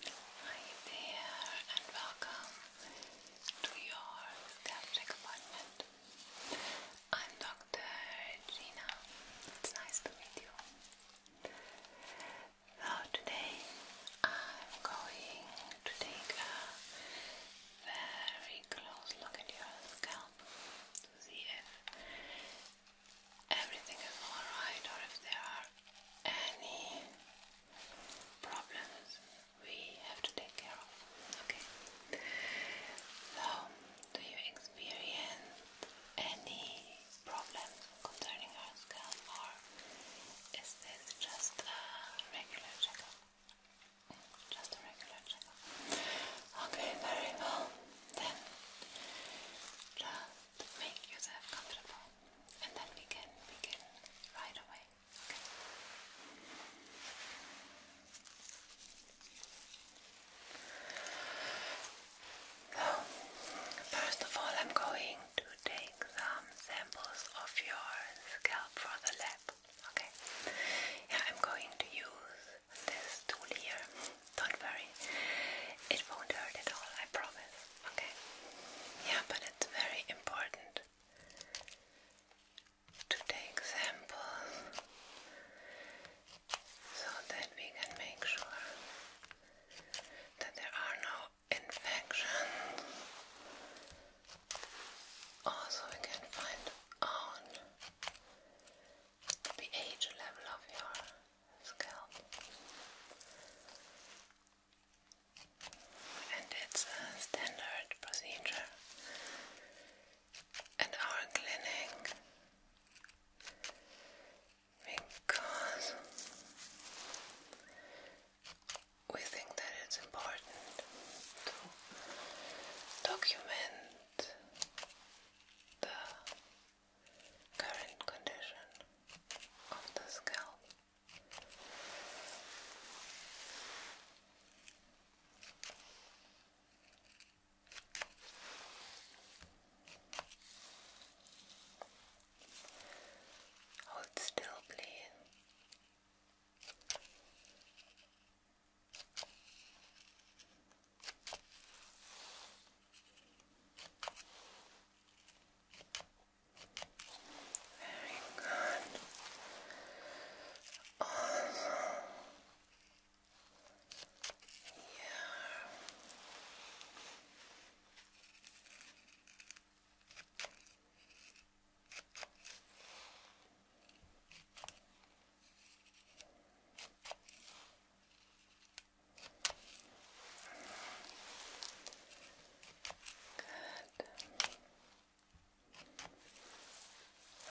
Hi there and welcome to your skeptic appointment. I'm Dr. Gina. It's nice to meet you. So today I'm going to take a very close look at your scalp to see if everything is alright or if there are any problems we have to take care of. Okay. So, do you experience any problems concerning our scalp, or is this just a regular checkup? Just a regular checkup. Okay, very well. Then, make yourself comfortable and then we can begin right away. Okay. So, first of all, I'm going to take some samples of your scalp for the lab. Okay. I'm going to use this tool here. Don't worry, it won't hurt at all, I promise. Okay. Yeah, but it's very important to take samples so that we can make sure that there are no infections. Also, we can find out the pH level of your scalp and it's a standard procedure at our clinic because we think that it's important to document the current condition of the scalp. Hold still, please. Good. Very good. Also, yeah.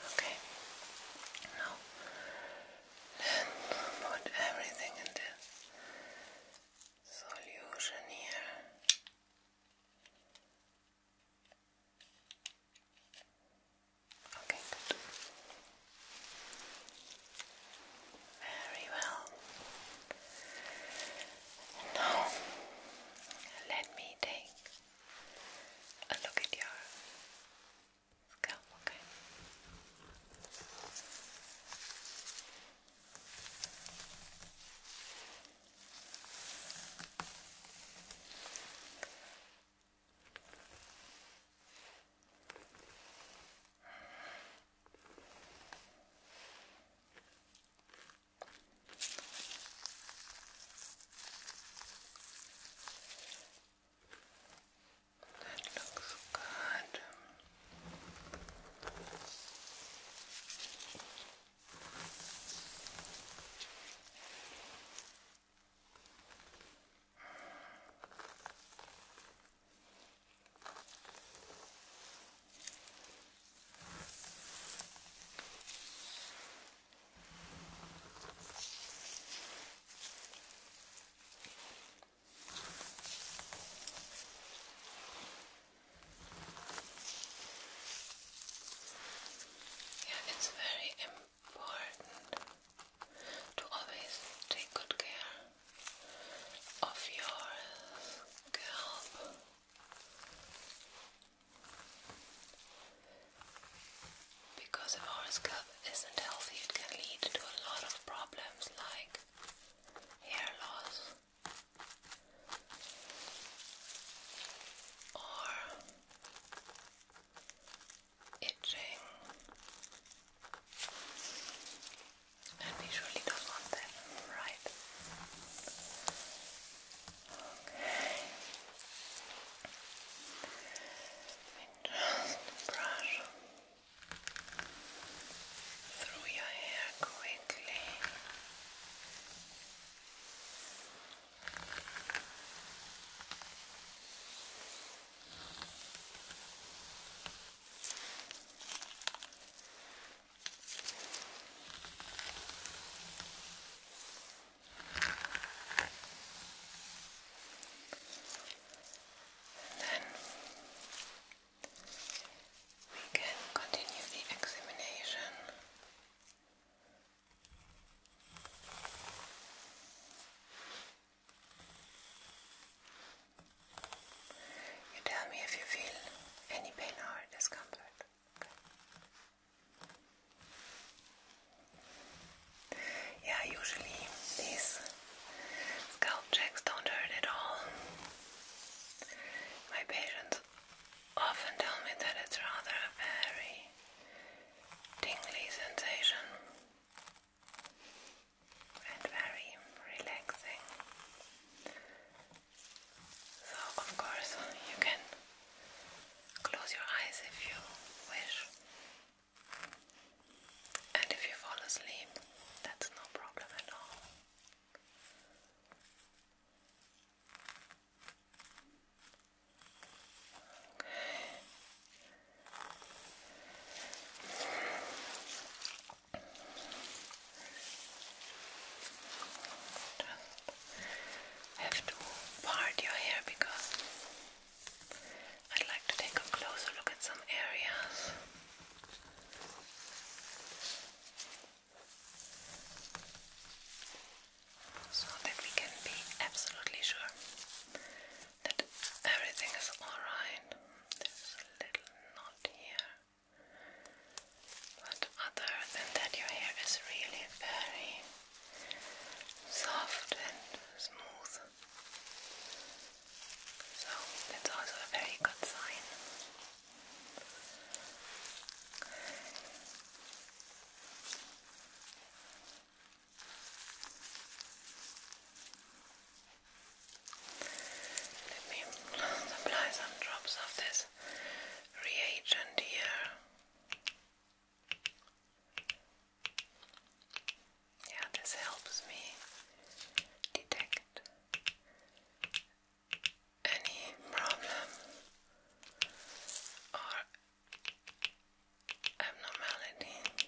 Okay. Now, let put everything into solution here. Okay, good. Very well. now, let me take a look at your scalp, okay? That looks good. Yeah, it's very important to always take good care of your scalp. Because if our scalp isn't healthy, it can lead to a lot of problems like hair loss or itching and we surely not want them, right? just brush through your hair quickly then we can continue the examination. You tell me if you feel any pain or discomfort. Yeah, usually these scalp checks don't hurt at all. My patients often tell me that it's rather a very tingly sensation and very relaxing. So, of course, you can close your eyes if you wish, and if you fall asleep, that's no problem at all have to part your hair because I'd like to take a closer look at some areas. So that we can be absolutely sure that everything is alright. There's a little knot here. But other than that, your hair is really very soft and smooth. So that's also a very good sign. Let me apply some drops of this reagent here. Yeah, this helps me detect any problem or abnormality.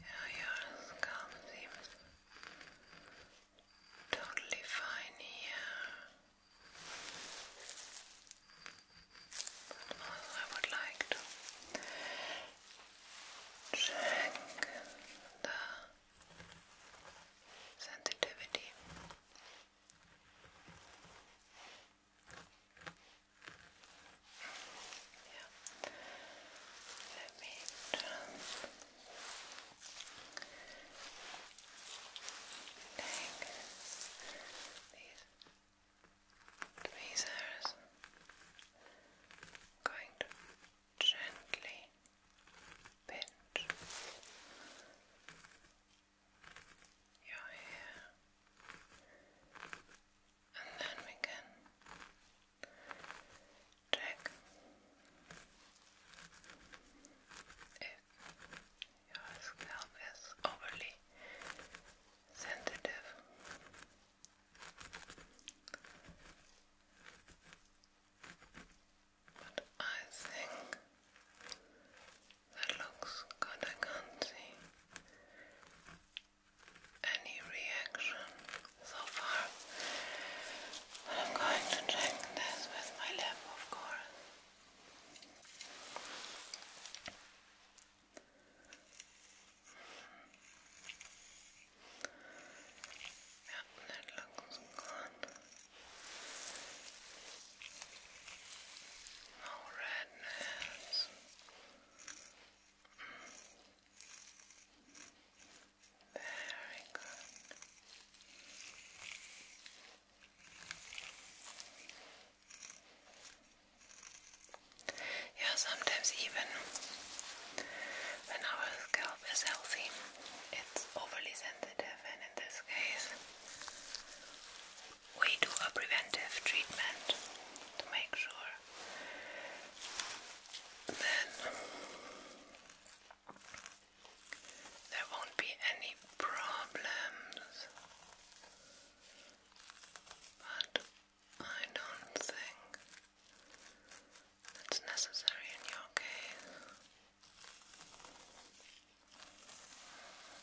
Yeah, you scalp seems fine here. But I would like to check the sensitivity. Yeah. Let me take these tweezers. going to gently pinch your hair and then we can check if your scalp is overly sensitive. But I think that looks good. I can't see any reaction so far. But I'm going to check this with my lab, of course. Yeah, that looks good. No redness. Very good. Yeah, sometimes even when our scalp is healthy, it's overly sensitive, and in this case, we do a preventive treatment to make sure there won't be any problems. But I don't think that's necessary in your case.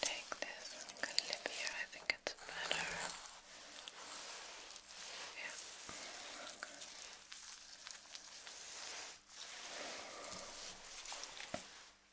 Take this and can live here. I think it's better. Yeah. Okay.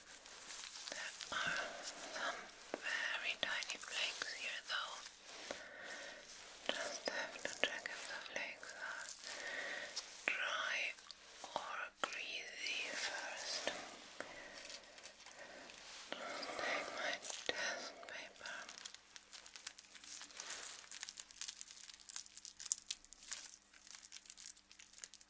There are some very tiny flakes here though. Just have to check if the flakes are dry or greasy first. take my test paper.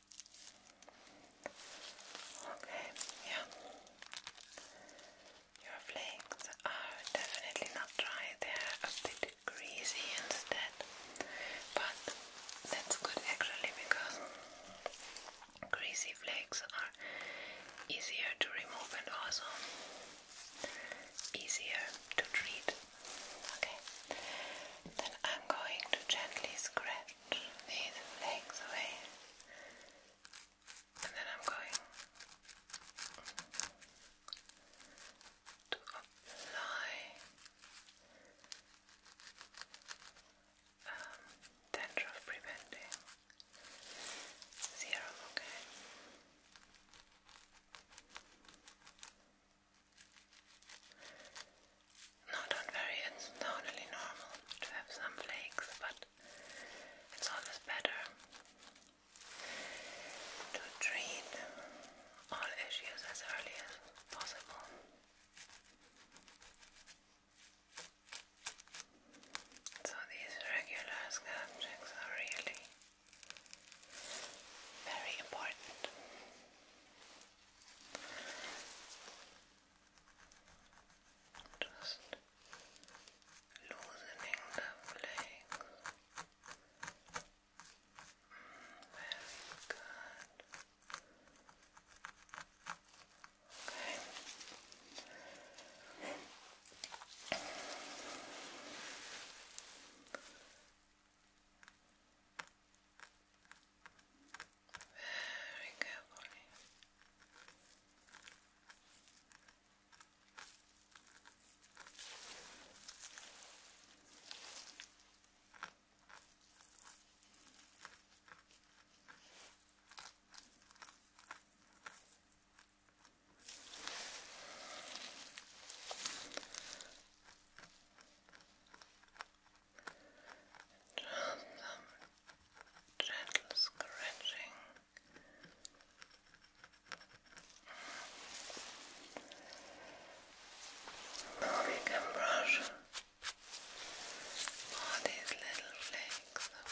Okay, yeah. Your flakes are definitely not dry, they're a bit greasy instead. But that's good actually because greasy flakes are easier to remove and also easier to treat. Okay, then I'm going to gently scratch stretch these legs away and then I'm going to apply um, dandruff preventing serum, okay? Not on very, it's totally normal to have some flakes, but it's always better to treat all issues as early as possible. So these regular scalp checks are really very important. Just loosening the flakes. Very good. Okay very carefully. Just some scratching. Now we can brush all these little flakes away.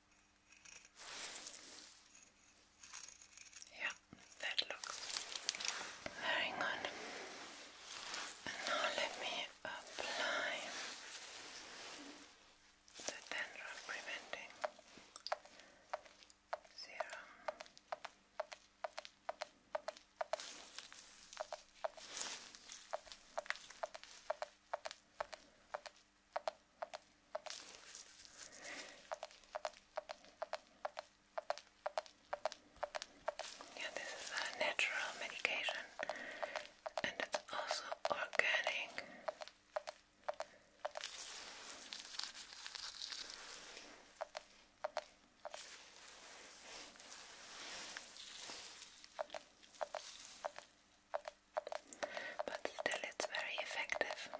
Yeah, that looks very good. now let me apply the dandruff preventing serum. Yeah, this is a natural medication and it's also organic. But still, it's very effective.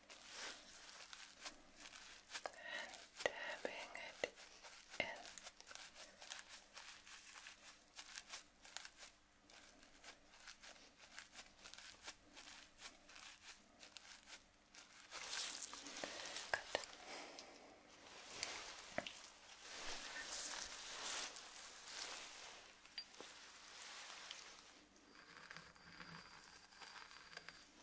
and tapping it in. Good. Good.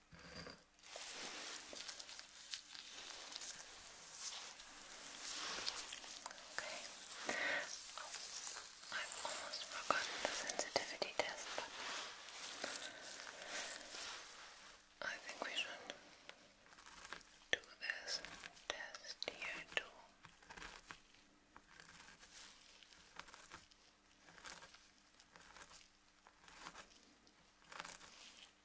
Okay. Oh, I've almost forgotten the sensitivity test, but I think we should do this test here too.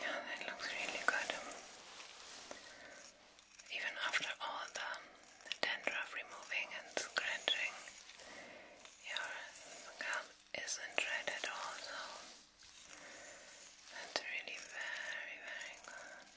Yeah, that looks really good. Even after all the dandruff removing and scratching, your scalp isn't red at that's really very, very good.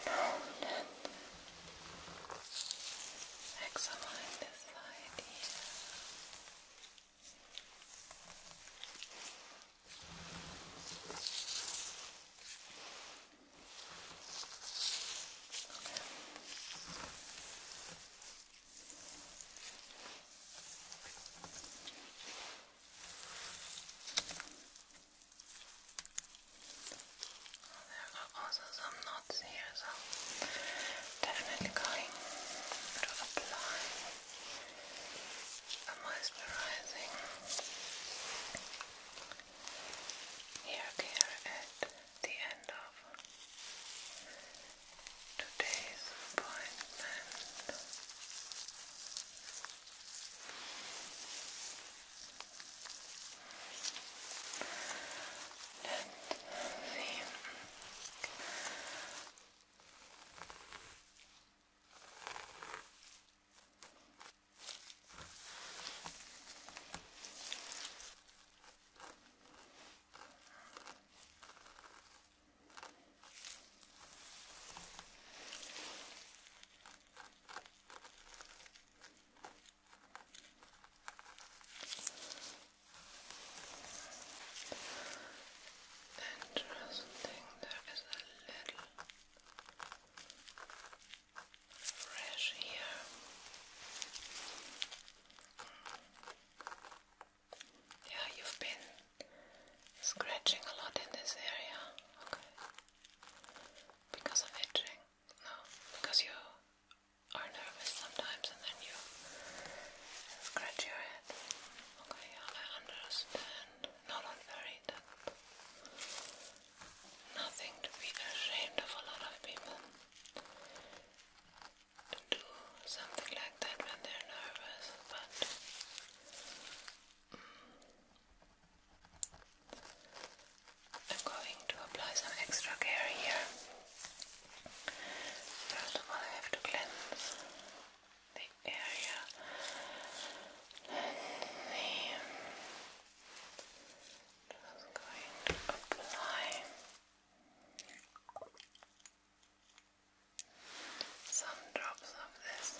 Okay. Now then, examine this side here. There are also some knots here, so definitely going to apply a moisturizing hair care at the end of today's appointment. let Interesting, there is a little fresh here. Yeah, you've been scratching a lot in this area, okay? Because of itching? No, because you are nervous sometimes and then you scratch your head. Okay, I understand. No, don't worry nothing to be ashamed of a lot of people do something like that when they're nervous, but mm, I'm going to apply some extra care here. First of all, I have to cleanse the area just going to apply some drops of this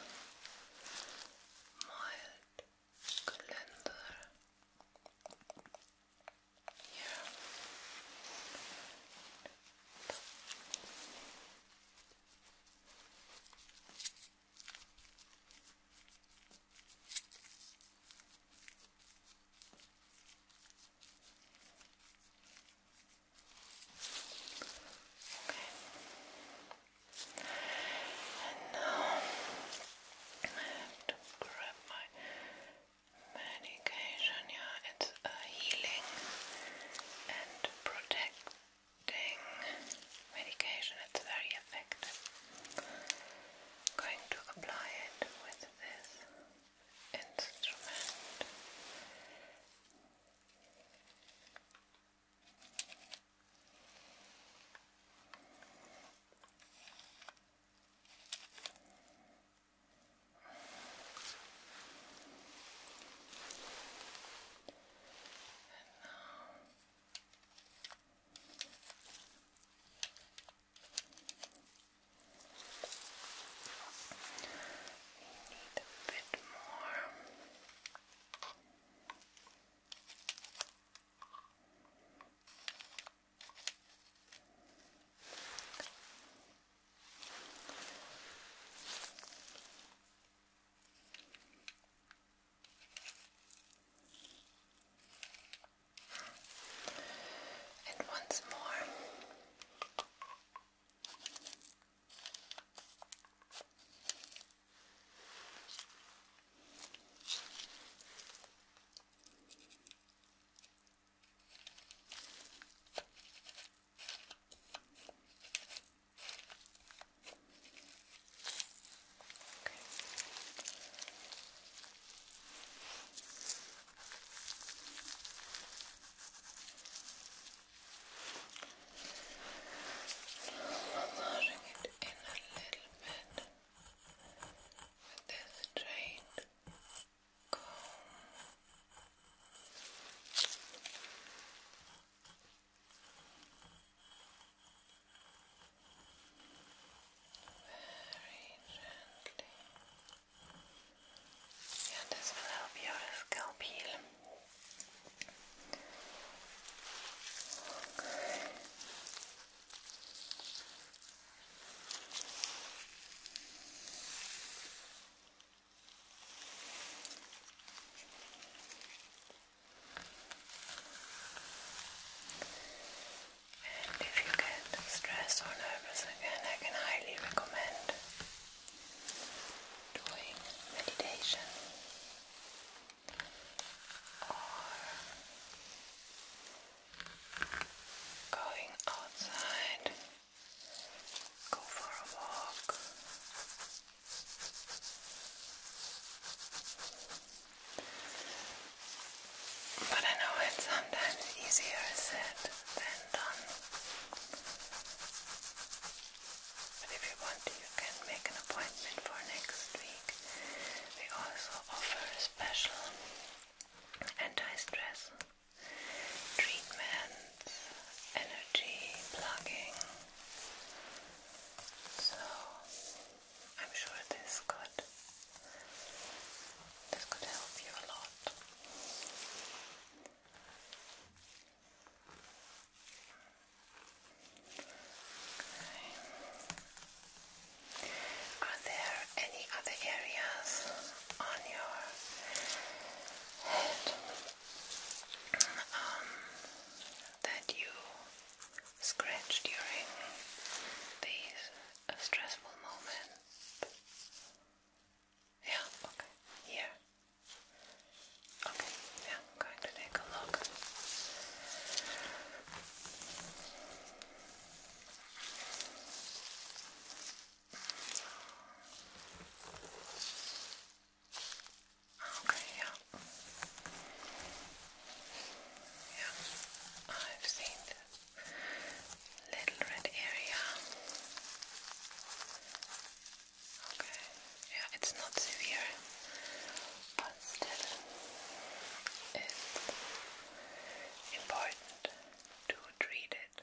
mild cleanser here. Okay. And now I have to grab my medication. Yeah, it's a healing and protect medication, it's very effective. going to apply it with this instrument. And now we need a bit more. Okay. And once more. Good. Massaging it in a little bit with this straight comb. Very gently. Yeah, this will help your scalp heal. And if you get stressed or nervous again, I can highly recommend doing meditation or going outside, go for a walk. But I know it's sometimes easier said than done. But if you want, you can make an appointment for next week. We also offer a special anti-stress treatment, energy plugging. So I'm sure this could this could help you a lot. Are there any other areas on your head um, that you scratch during these uh, stressful moments? Yeah, okay. Here. Okay, yeah, I'm going to take a look. Okay, yeah. Yeah, I've seen little red area. Okay, yeah, it's not severe, but still, it's important to treat it.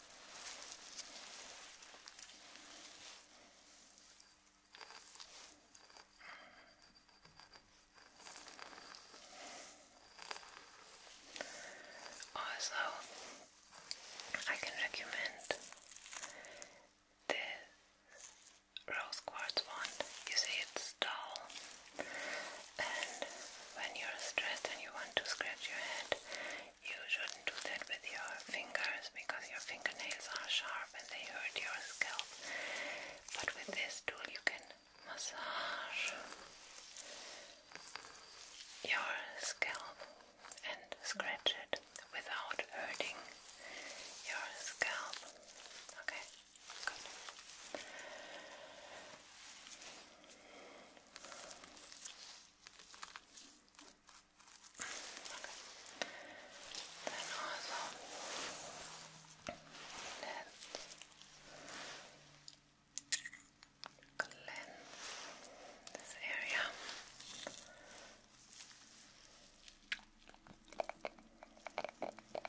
Also, I can recommend the rose quartz wand. You see, it's dull, and when you're stressed and you want to scratch your head, you shouldn't do that with your fingers because your fingernails are sharp and they hurt your scalp. But with this tool, you can massage your scalp and scratch it without hurting your scalp. Okay, good. Then also let's cleanse this area. Okay.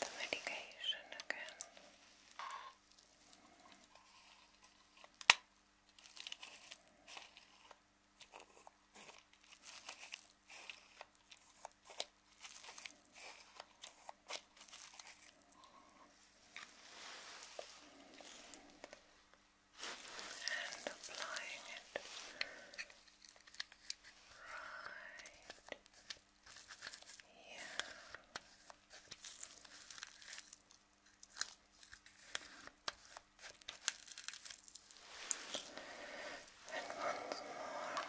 the medication again. And applying it right yeah. And once more. Good.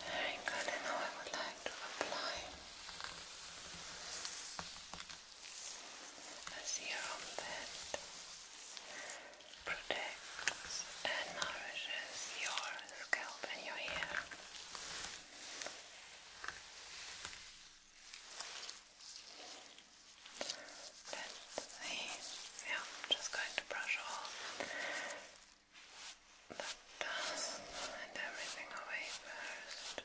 Very good, and now I would like to apply a serum that protects and nourishes your scalp and your hair. Let's see. Yeah, I'm just going to brush off the dust and everything away first.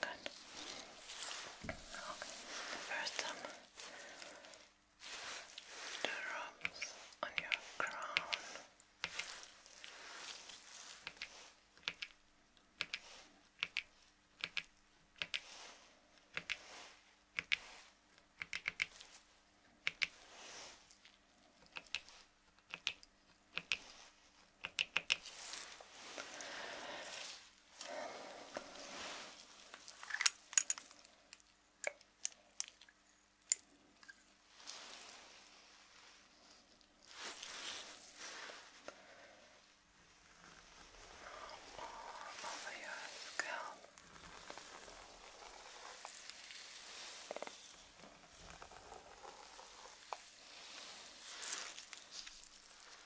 Good. Okay, first time the on your crown. All over your scalp. Good.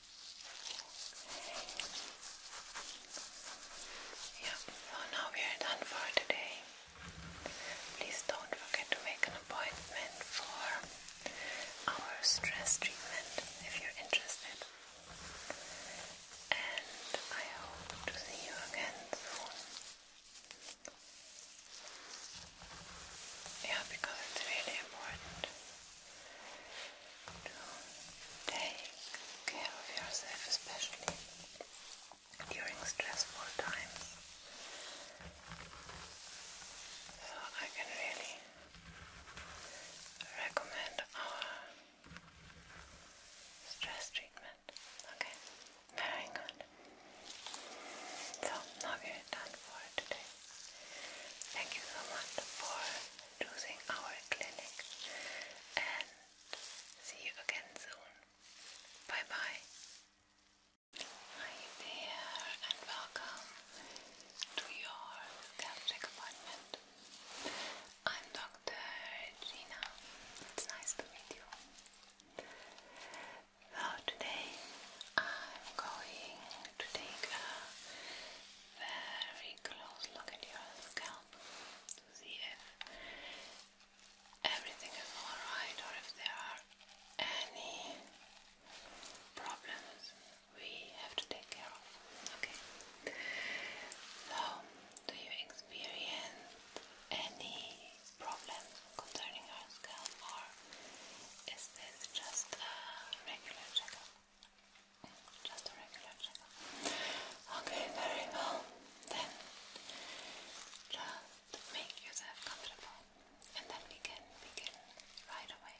Yeah, oh, so now we are done for today. Please don't forget to make an appointment for our stress treatment if you're interested. And I hope to see you again soon. Yeah, because it's really important to take care of yourself, especially during stressful times. So I can really recommend our stress treatment. Okay, very good. So now we're done for today. Thank you so much for choosing our clinic and see you again soon. Bye bye. Hi there and welcome to your scalp appointment. I'm Dr. Gina. It's nice to meet you. So today I'm going to take a very close look at your scalp to see if everything is alright or if there are any problems we have to take care of. Okay. So, do you experience any problems concerning your scalp or is this just a regular checkup? Just a regular checkup. Okay, very well. Then just make yourself comfortable and then we can begin right away.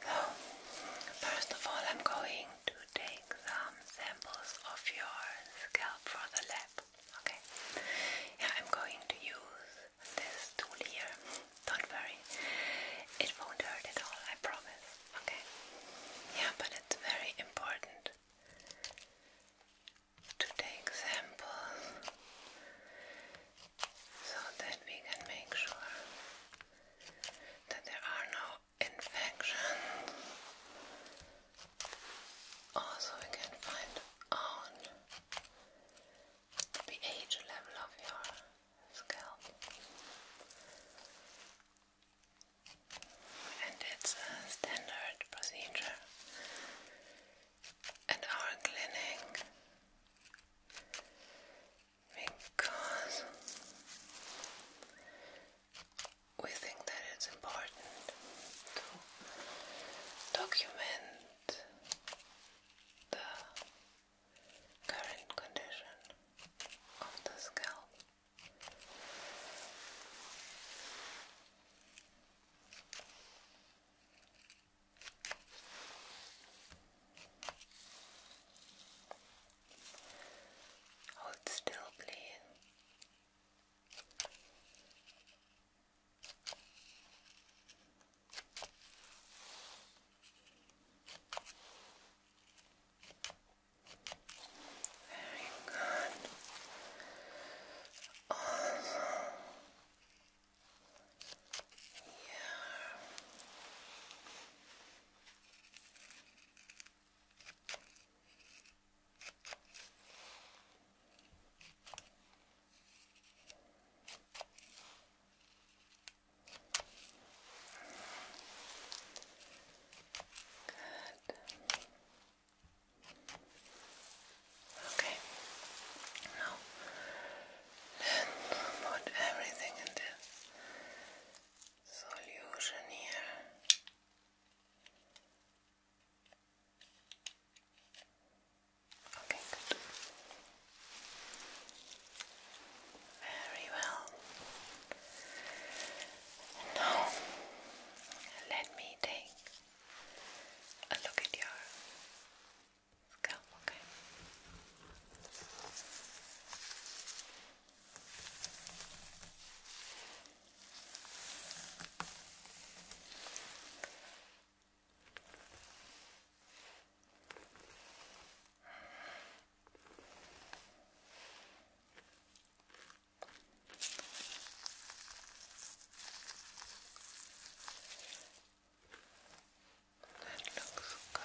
So, first of all, I'm going to take some samples of your scalp for the lab. Okay. Yeah, I'm going to use this tool here. Don't worry. It won't hurt at all, I promise. Okay. Yeah, but it's very important to take samples so that we can make sure that there are no infections also, oh, we can find out the pH level of your scalp, and it's a standard procedure at our clinic because we think that it's important document the current condition of the scalp. Hold still, please. Very good. Also, yeah. Good. Good. Okay. Now, then put everything in the solution here. Okay, good. Very well. now, let me take a look at your scalp, okay? That looks good.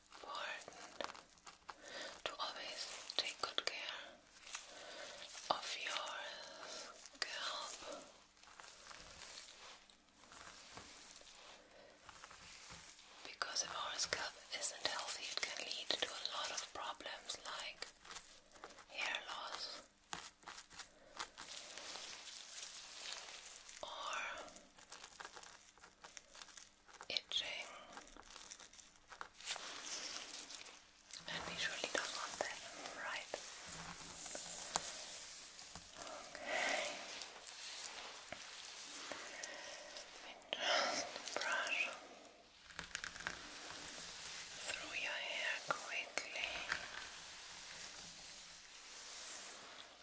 important to always take good care of your scalp. Because if our scalp isn't healthy, it can lead to a lot of problems like hair loss or itching, and we surely don't want that, right? just brush through your hair quickly then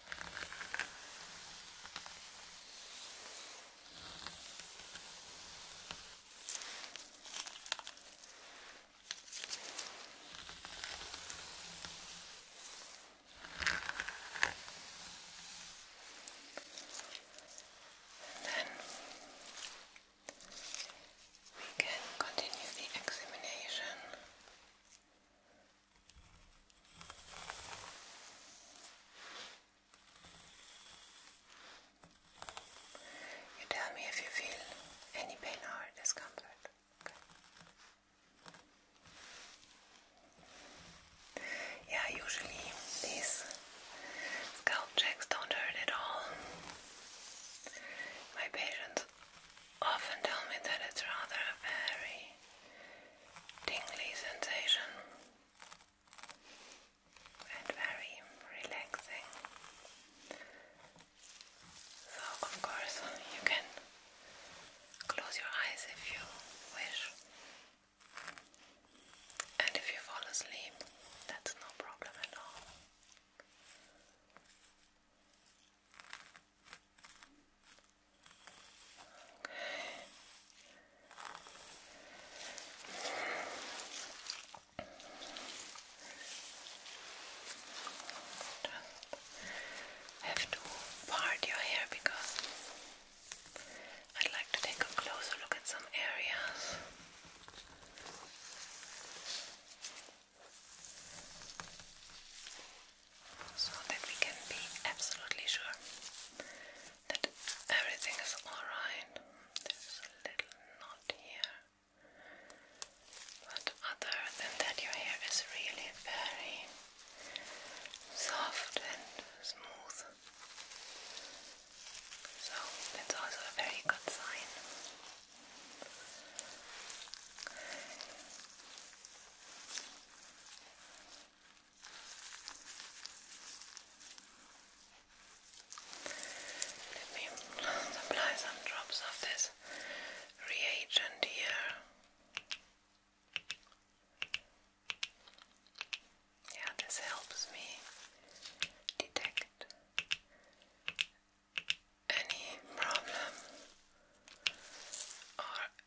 we can continue the examination tell me if you feel any pain or discomfort. Yeah, usually these scalp checks don't hurt at all. My patients often tell me that it's rather a very tingly sensation and very relaxing. So, of course, you can close your eyes if you wish, and if you fall asleep, that's no problem at all. Have to part your hair because I'd like to take a closer look at some areas so that we can be absolutely sure that everything is alright. There's a little knot here, but other than that, your hair is really very soft and smooth. So it's also a very good sign. Let me apply some drops of this reagent here. Yeah, this helps me detect any problem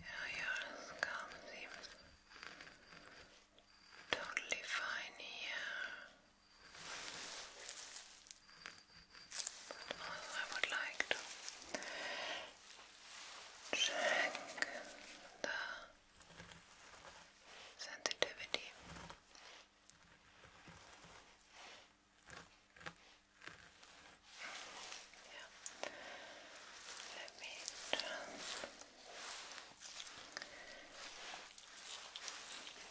Yeah, your scalp seems totally fine here. But I would like to check the sensitivity. Yeah. Let um,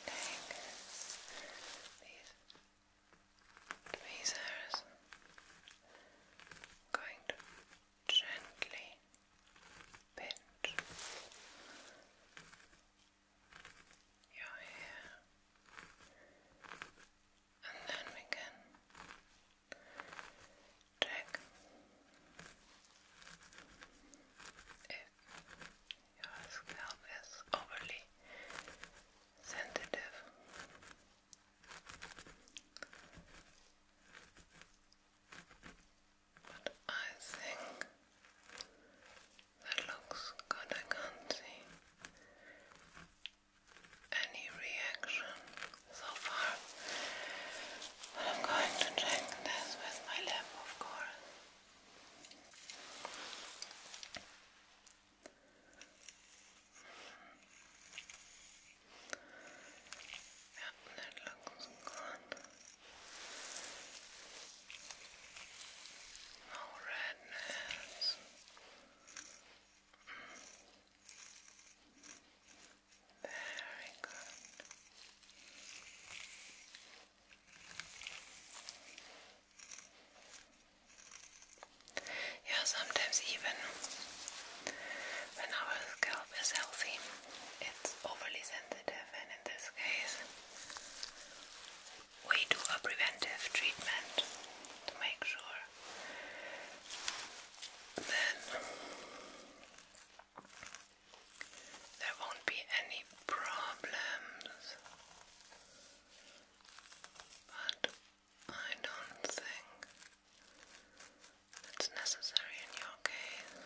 take these tweezers. i gently pinch your hair, and then we can check if your scalp is overly sensitive. But I think that looks good. I can't see any reaction so far. But I'm going to check this with my lab, of course. Yep, that good. No redness. Very good. Mm. Yeah, sometimes even when our scalp is healthy, it's overly sensitive, and in this case, we do a preventive treatment to make sure that there won't be any problems. But I don't think that's necessary in your case.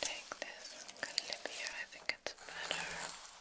Take this Calibia, I think it's better.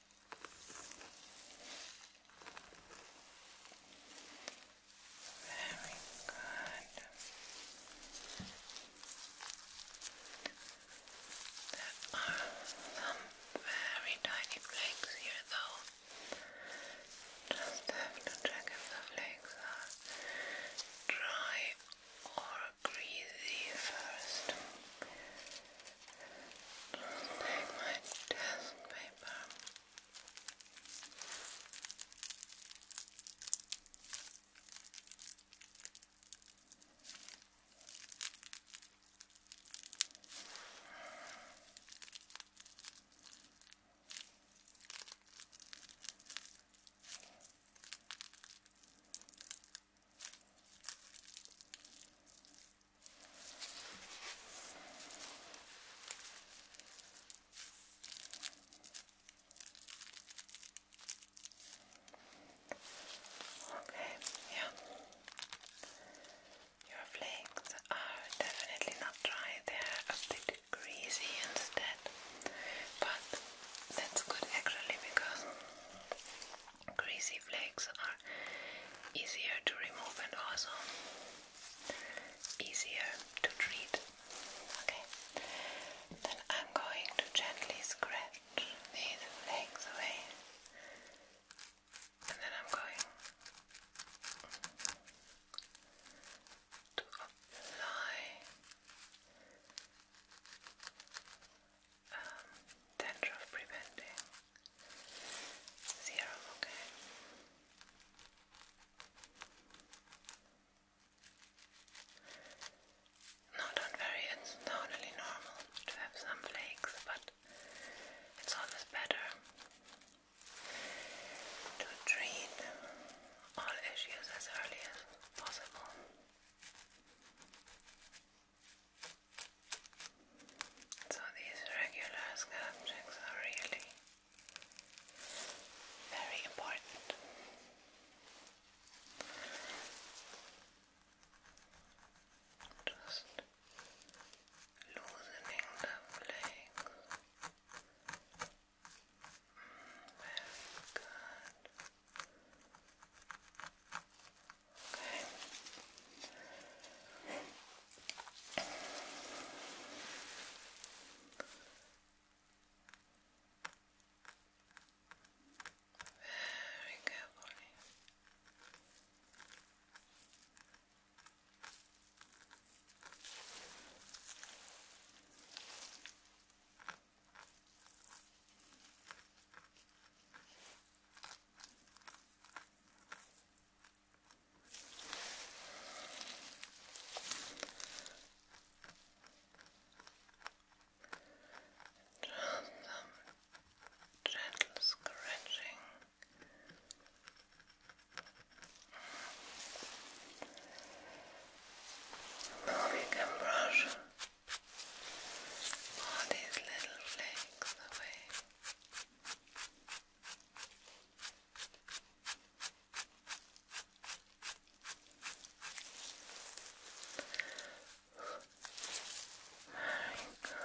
Very good. There are some very tiny flakes here though. Just have to check if the flakes are dry or greasy first. Just take my test paper. Okay. Okay, yeah. Your flakes are definitely not dry, they're a bit greasy instead. But that's good actually because greasy flakes are easier to remove and also easier to treat. Okay, then I'm going to gently scratch these legs away, and then I'm going to apply um, dandruff preventing. Zero, okay. Not on very, normal to have some flakes, but it's always better to treat all issues as early as possible. So these regular scalp are really very important. Just loosening the legs. Mm, very good. Okay. Very carefully. Very just some gentle scratching. Now we can brush all these little flakes away. Very good. Just check.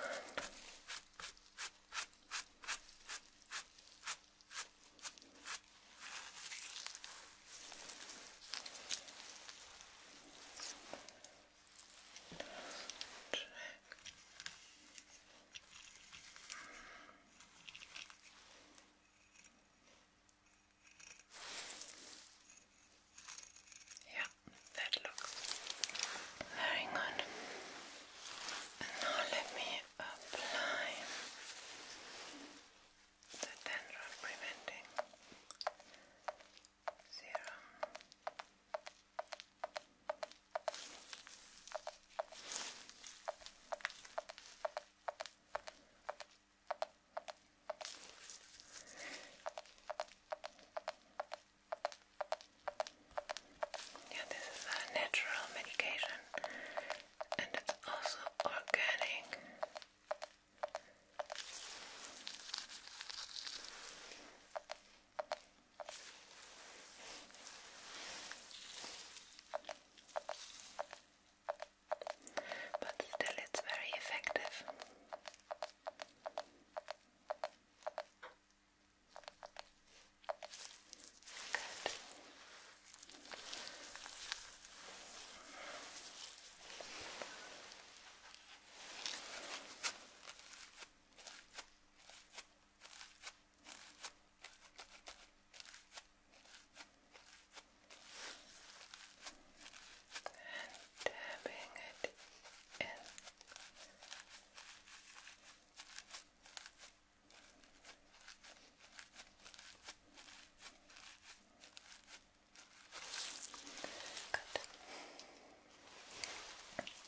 Yeah, that looks very good. now let me apply the dandruff preventing serum. Yeah, this is a natural medication and it's also organic. But still, it's very effective. Good and tapping it in. Good.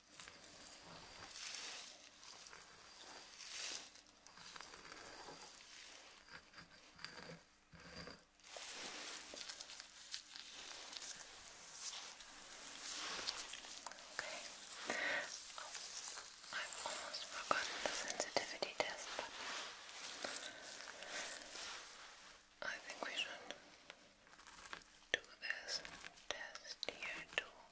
Okay. Oh, I almost forgot the sensitivity test, but I think we should do this test here too.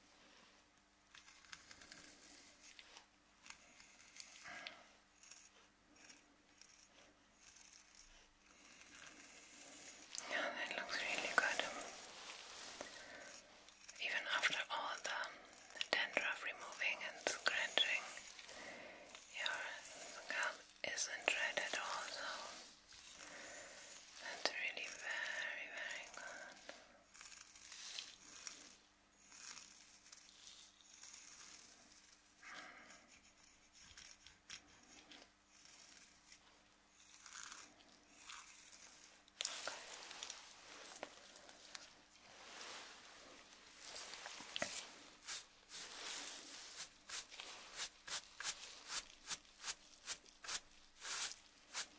Yeah, that looks really good. Even after all the dandruff removing and scratching, your scalp isn't red at all, so that's really very, very good. Okay.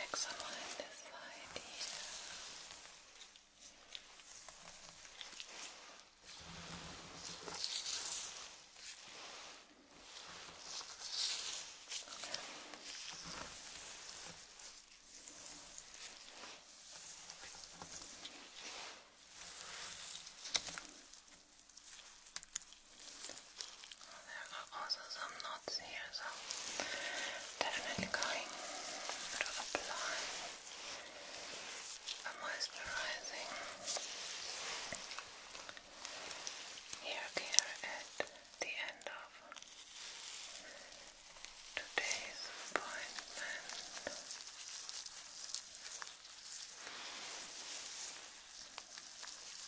Excellent, this side here. Okay. There are also some knots here, so definitely going to apply a moisturizing hair care at the end of today's appointment.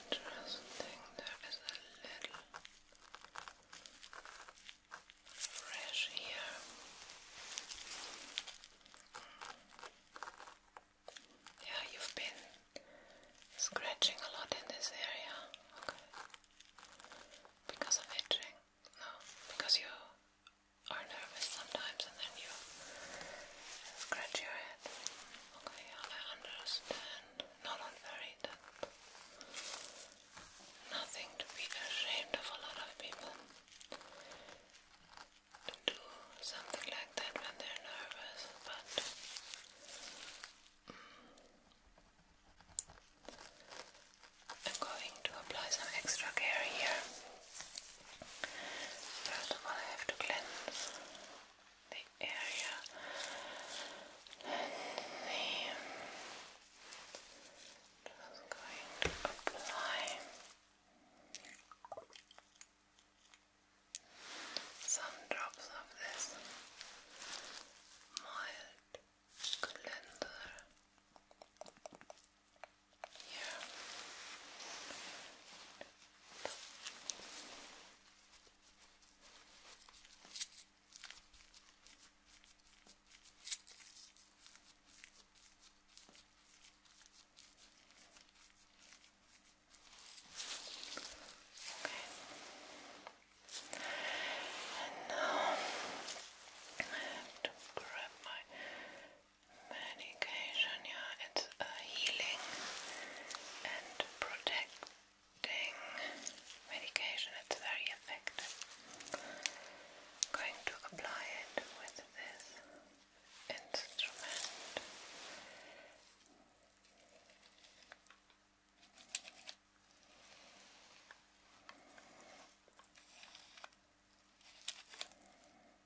Interesting, there is a little fresh here. Yeah, you've been scratching a lot in this area. Okay. Because of itching? No, because you are nervous sometimes and then you scratch your head. Okay, I understand. Not on very nothing to be ashamed of a lot of people. do something like that when they're nervous, but mm, I'm going to apply some extra care here. First of all, I have to cleanse the area and the just going to apply some drops of this mild cleanser. Yeah. Okay. And now I have to grab my medication, yeah, it's a healing and protecting medication, it's very effective. going to apply it with this instrument.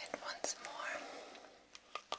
And once more. Good.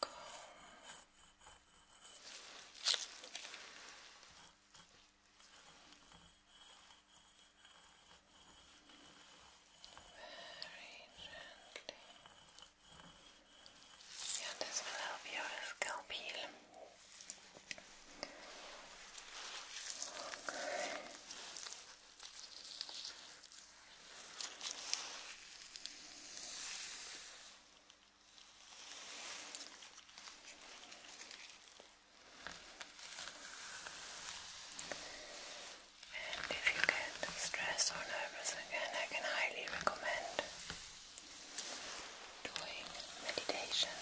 calm. Very gently. Yeah, this will help your scalp heal. And if you get stressed or nervous again, I can highly recommend doing meditation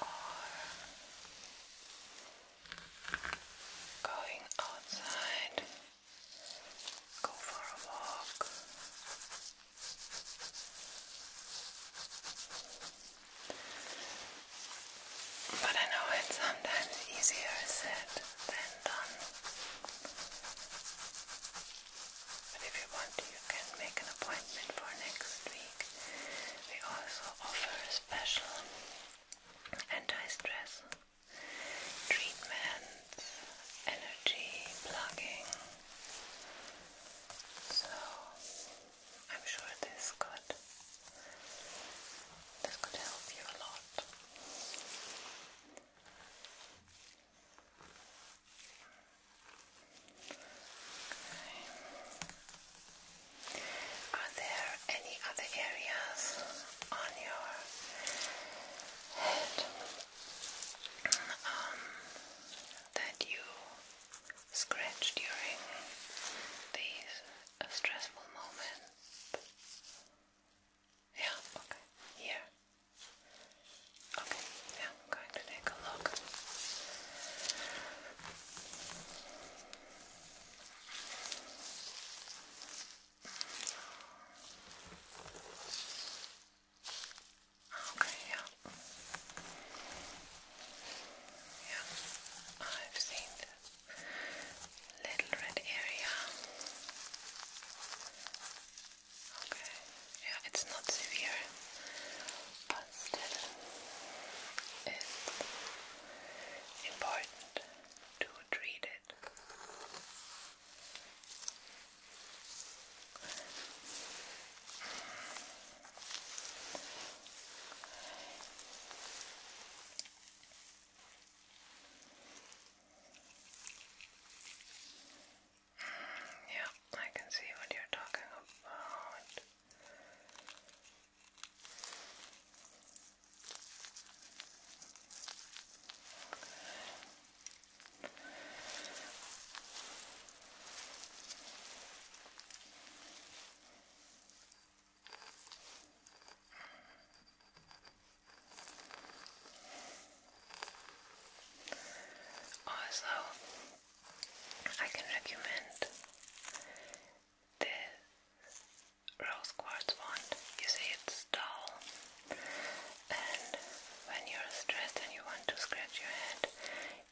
or going outside, go for a walk. But I know it's sometimes easier said than done. But if you want, you can make an appointment for next week. We also offer a special anti-stress treatments, energy plugging. So I'm sure this could this could help you a lot. Are there any other areas on your head um, that you scratch during these uh, stressful moments? Yeah, okay. Here. Okay, I'm going to take a look. Okay, yeah. Yeah, I've seen little red area. Okay, yeah, it's not severe, but still it's important to treat it. Mm, yeah, I can see what you're talking about. Also, I can recommend this rose quartz wand. You see it's dull, and when you're stressed and you want to scratch your head,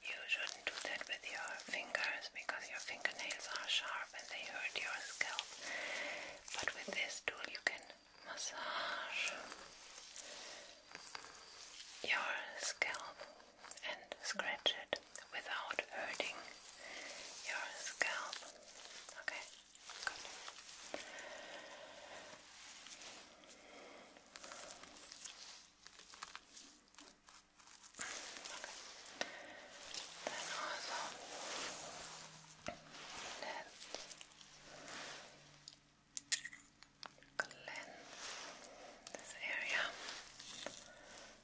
you shouldn't do that with your fingers because your fingernails are sharp and they hurt your scalp. But with this tool, you can massage your scalp and scratch it without hurting your scalp. Okay, good. Okay. Then also let's cleanse this area.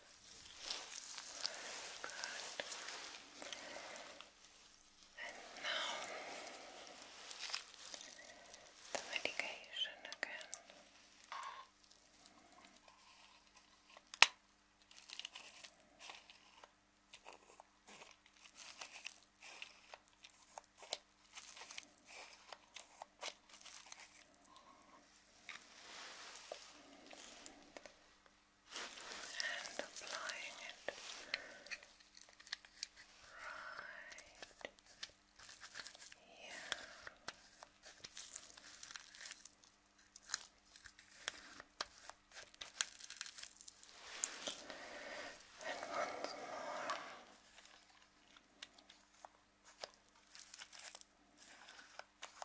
Good. And now the medication again and applying it right here. And once more.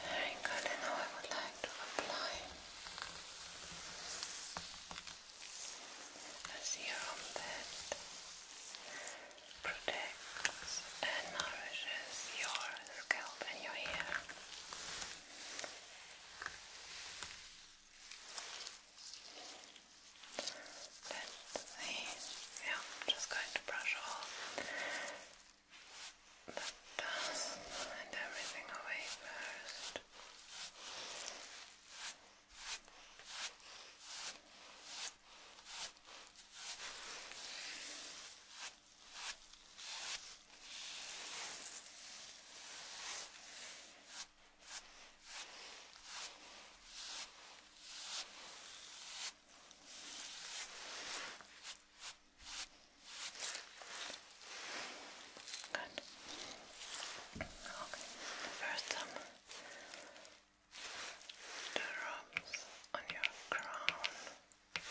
Very good, now I would like to apply a serum that protects and nourishes your scalp and your hair. Let's Yeah, just going to brush off the dust and everything away first. Good. Okay. First, um, the rubs on your crown. Okay.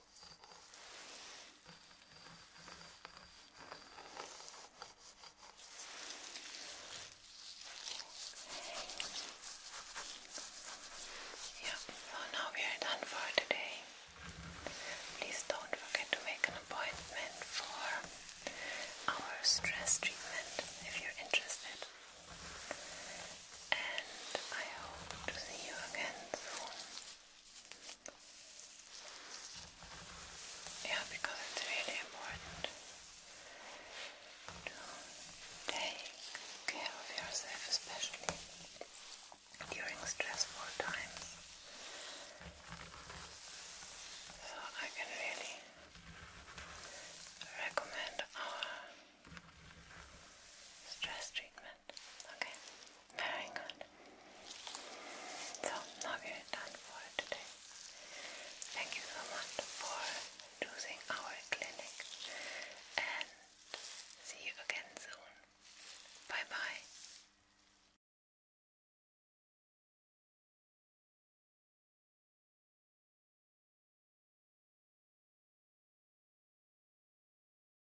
Yeah, so oh, now we are done for today. Please don't forget to make an appointment for our stress treatment if you're interested. And I hope to see you again soon. Yeah, because it's really important to take care of yourself, especially during stressful times. So I can really recommend our stress treatment. Okay, very good. So now we are done for today. Thank you so much for using our clinic and see you again soon. Bye bye.